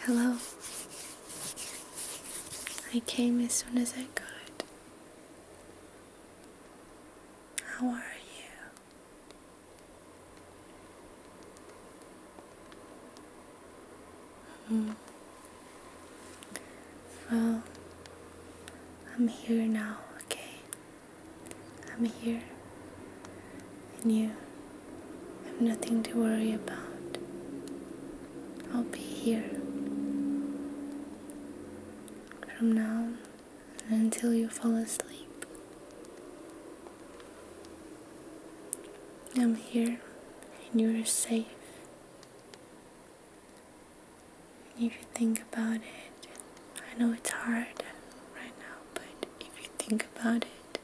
Hello. I came as soon as I could. How are you? -hmm. Well, I'm here now, okay? I'm here. And you have nothing to worry about. I'll be here. From now until you fall asleep. I'm here and you're safe. If you think about it, I know it's hard right now, but if you think about it,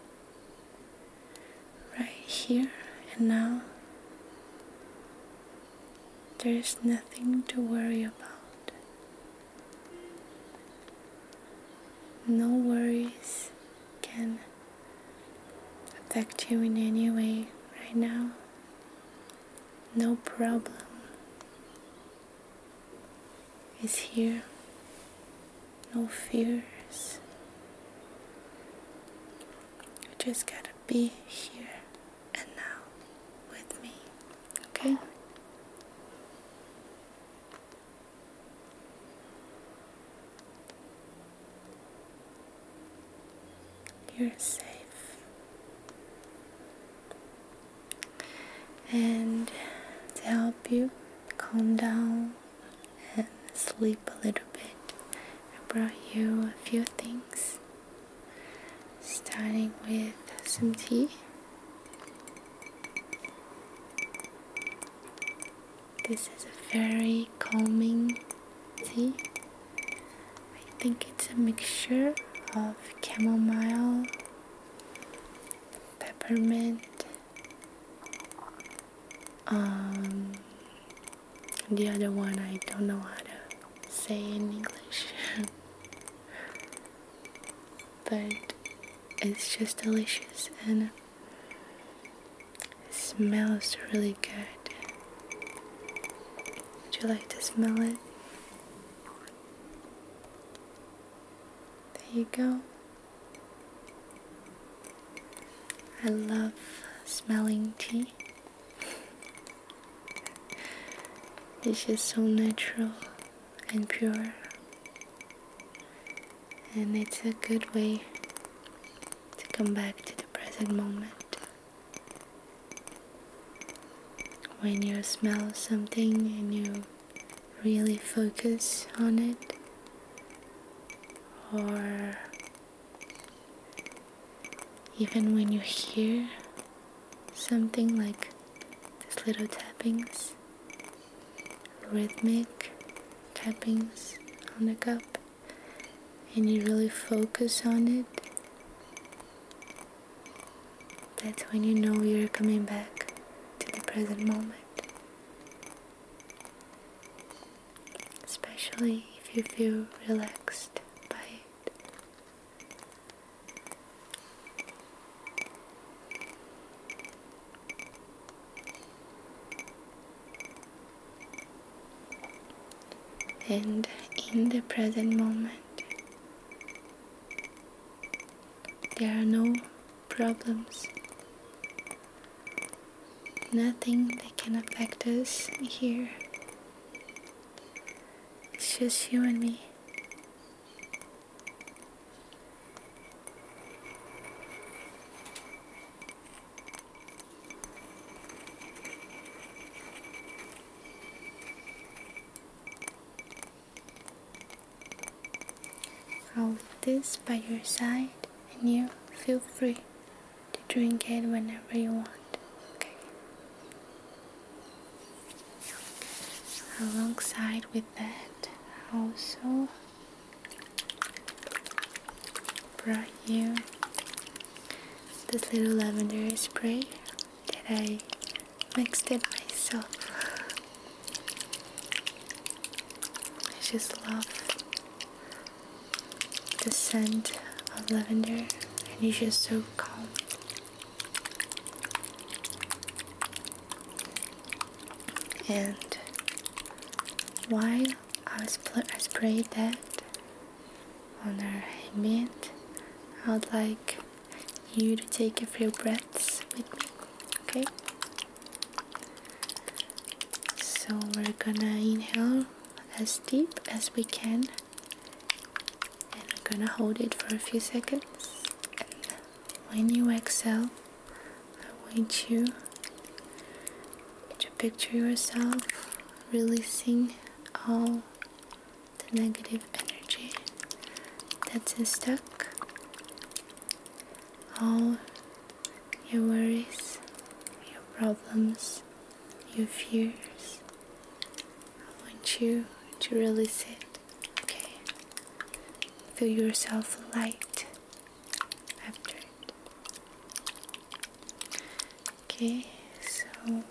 right here and now, there's nothing to worry about. No worries can affect you in any way right now no problem It's here, no fears. You just gotta be here and now with me, okay? You're safe. And to help you calm down and sleep a little bit, I brought you a few things. Starting with some tea. This is a very calming tea. I think it's a mixture of chamomile, peppermint, um, the other one I don't know how to say in English, but it's just delicious and smells really good. Would you like to smell it? There you go. I love smelling tea. It's just so natural and pure, and it's a good way to come back to the present moment. When you smell something and you really focus on it, or even when you hear something like these little tappings, rhythmic tappings on the cup and you really focus on it, that's when you know you're coming back to the present moment. Especially if you feel relaxed by it and in the present moment. There are no problems, nothing that can affect us here. It's just you and me. I'll leave this by your side and you feel free to drink it whenever you want, okay? Alongside with that, also brought you this little lavender spray that I mixed it myself. I just love the scent of lavender and it's just so calm. And while I, spray, that, on our hand. I would like you to take a few breaths with me, okay? So we're gonna inhale as deep as we can and we're gonna hold it for a few seconds when you exhale I want you could picture yourself releasing all the negative energy that's stuck? All your worries, your problems, your fears. I want you to release it, okay? Feel yourself light after it okay so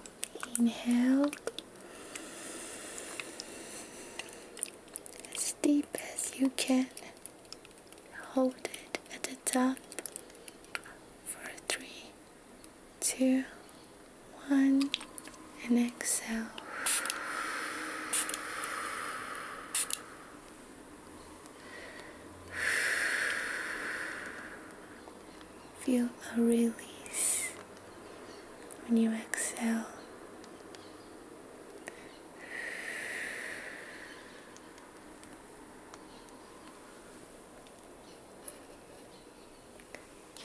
inhale as deep as you can hold it at the top for three two one and exhale Feel a release when you exhale.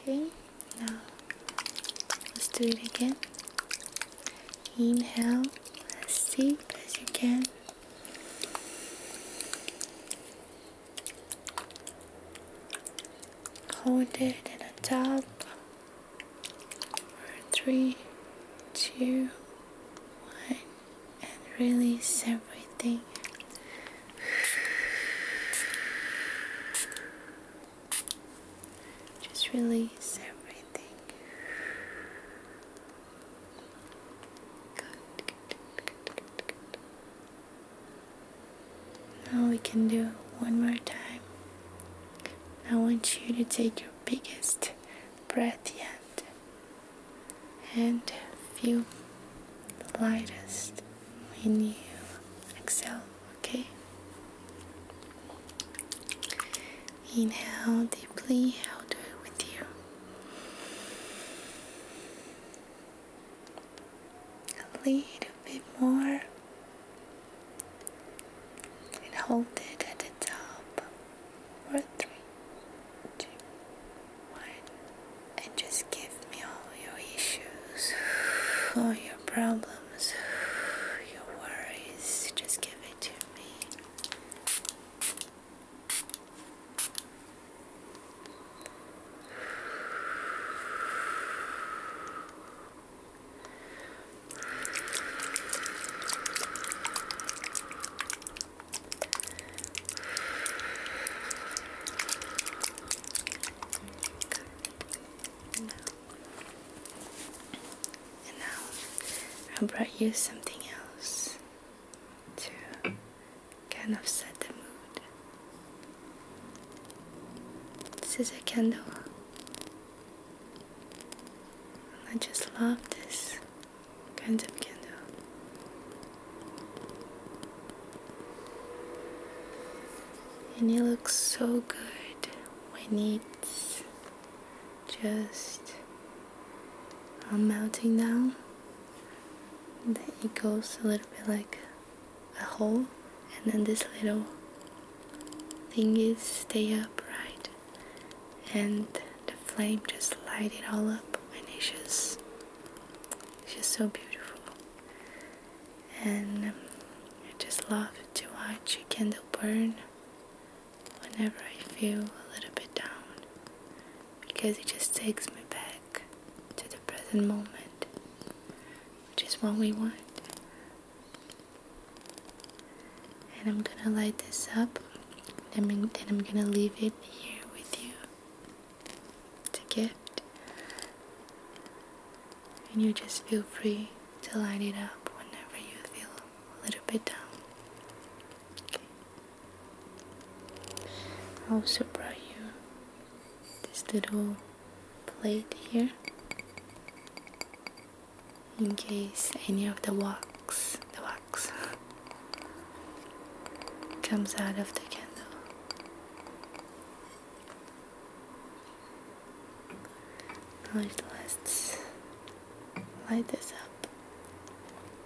Okay, now let's do it again. Inhale as deep as you can hold it in the top for three two one and release everything just release everything now we can do one more time. I want you to take your biggest breath yet and feel the lightest when you exhale, okay? Inhale deeply, i do it with you a little bit more and hold it at the top for three, two, one, and just give me all your issues, all your problems, your worries. Just give it to me. I brought you something else to kind of set the mood. This is a candle. I just love this kind of candle. And it looks so good when it's just um, melting now that it goes a little bit like a hole and then this little thing is stay upright and the flame just light it all up and it's just just so beautiful and um, I just love to watch a candle burn whenever I feel a little bit down because it just takes me back to the present moment, which is what we want. And I'm gonna light this up, and I'm, gonna leave it here with you. It's a gift, and you just feel free to light it up whenever you feel a little bit down. I also brought you this little plate here in case any of the wax the wax comes out of the candle now let's light this up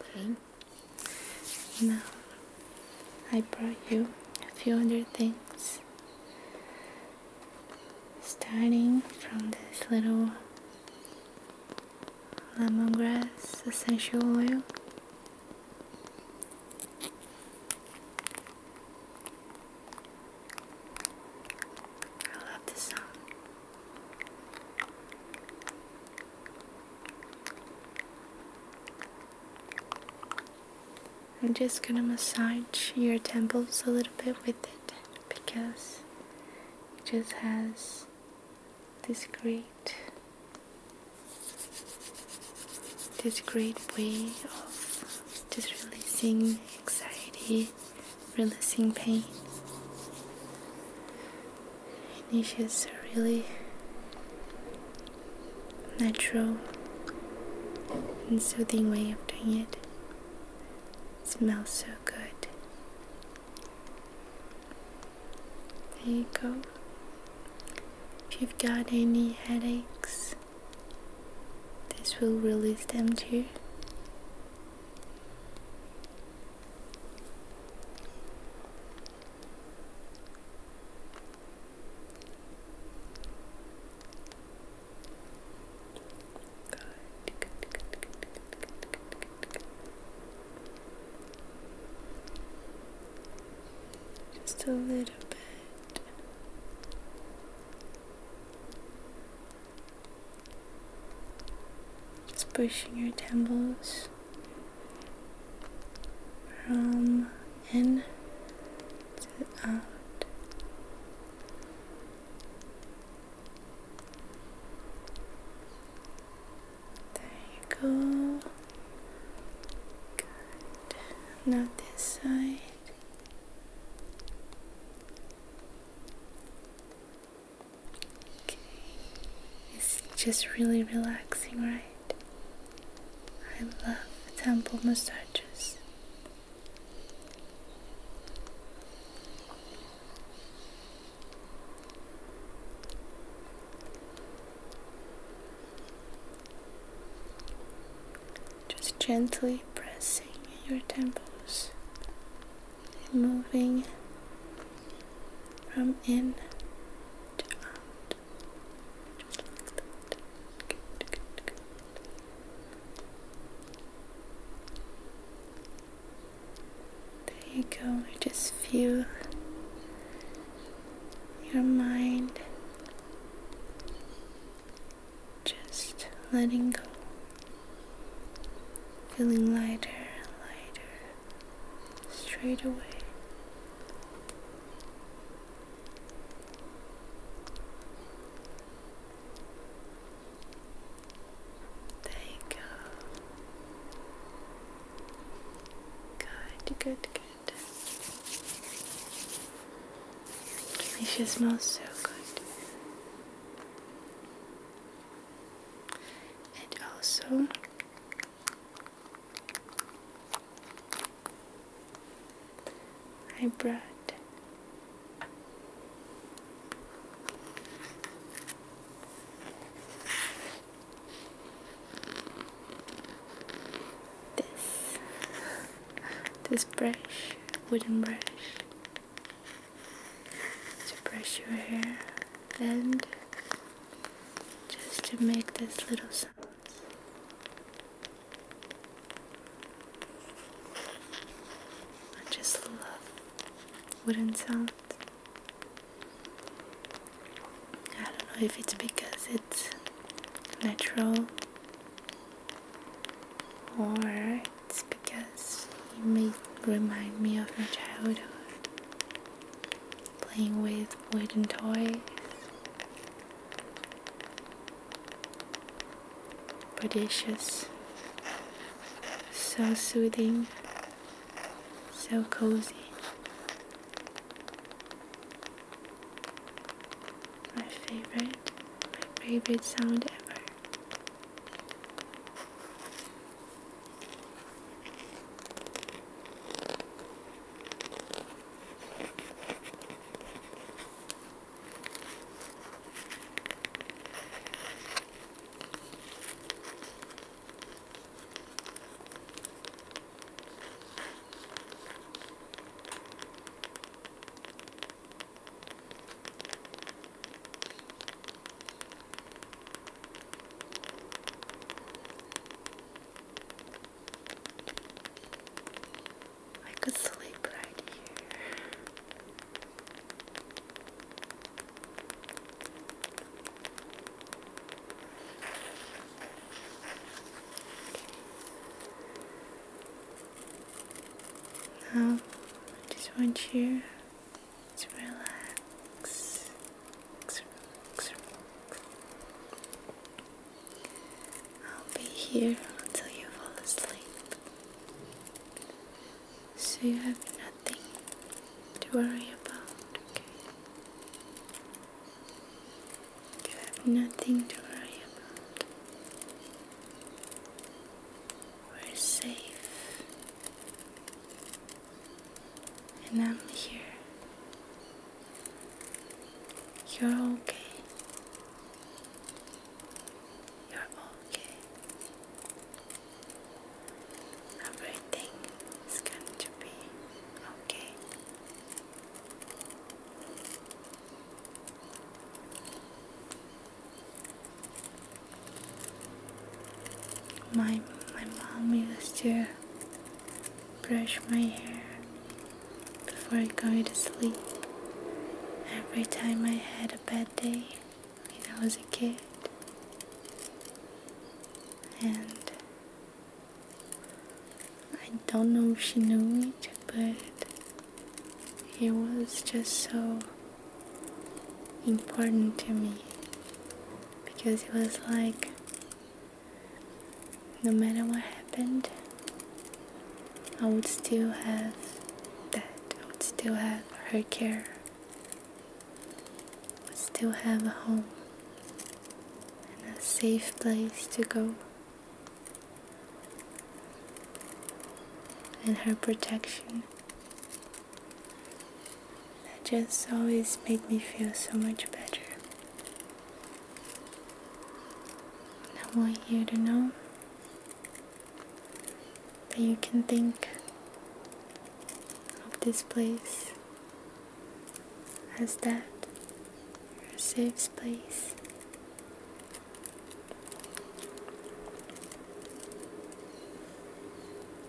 Okay. Now I brought you a few other things. Starting from this little lemongrass essential oil. I am just gonna massage your temples a little bit with it because it just has this great this great way of just releasing anxiety, releasing pain. And it's a really natural and soothing way of doing it. It smells so good. There you go. If you've got any headaches, this will release them too just a little bit just pushing your temples from in to out. There you go. Good. Now this side. It's just really relaxing, right? I love temple massages. Just gently pressing your temples and moving from in to out. There you go. I just feel your mind just letting go, feeling lighter, lighter, straight away. There you go. Good, good, good. It just smells so good. And also, I brought this this brush wooden brush to brush your hair and just to make this little sound I just love wooden sounds. I don't know if it's because natural or it's because it may remind me of my childhood playing with wooden toys Precious, so soothing, so cozy. My favorite, my favorite sound ever. I could sleep right here. I just want you to relax. I'll be here until you fall asleep. So you have nothing to worry about, you have nothing to worry about. We're safe. And I'm here. You're okay. You're okay. Everything is going to be okay. My, my mom used to brush my hair before I go to sleep every time I had a bad day when I was a kid. And I don't know if she knew it, but it was just so important to me because it was like no matter what happened, I would still have that, I would still have her care, I would still have a home and a safe place to go and her protection that just always made me feel so much better. I want you to know that you can think of this place as that safe space.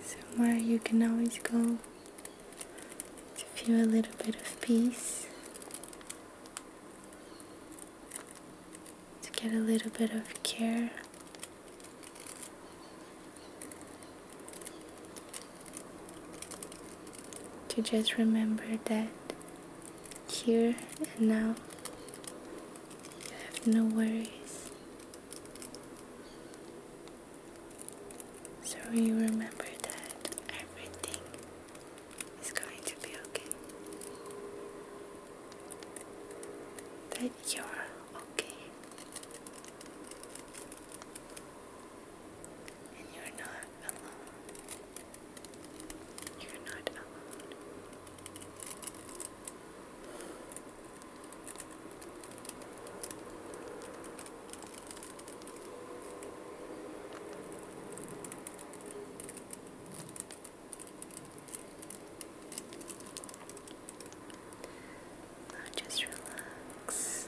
Somewhere you can always go to feel a little bit of peace, to get a little bit of care to just remember that here and now you have no worries. So you remember that everything is going to be okay. That you're okay. And you're not. You're not alone. just relax.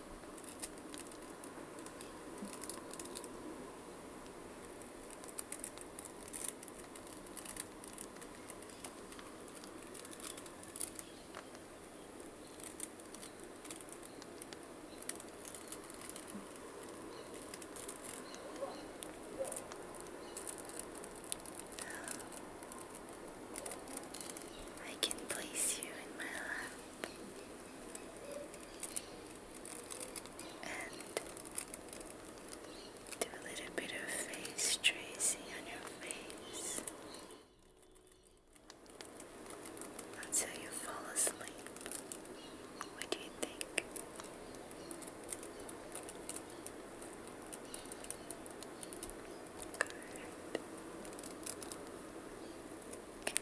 I can place you in my lap and do a little bit of face tracing on your face until you fall asleep. What do you think? Good.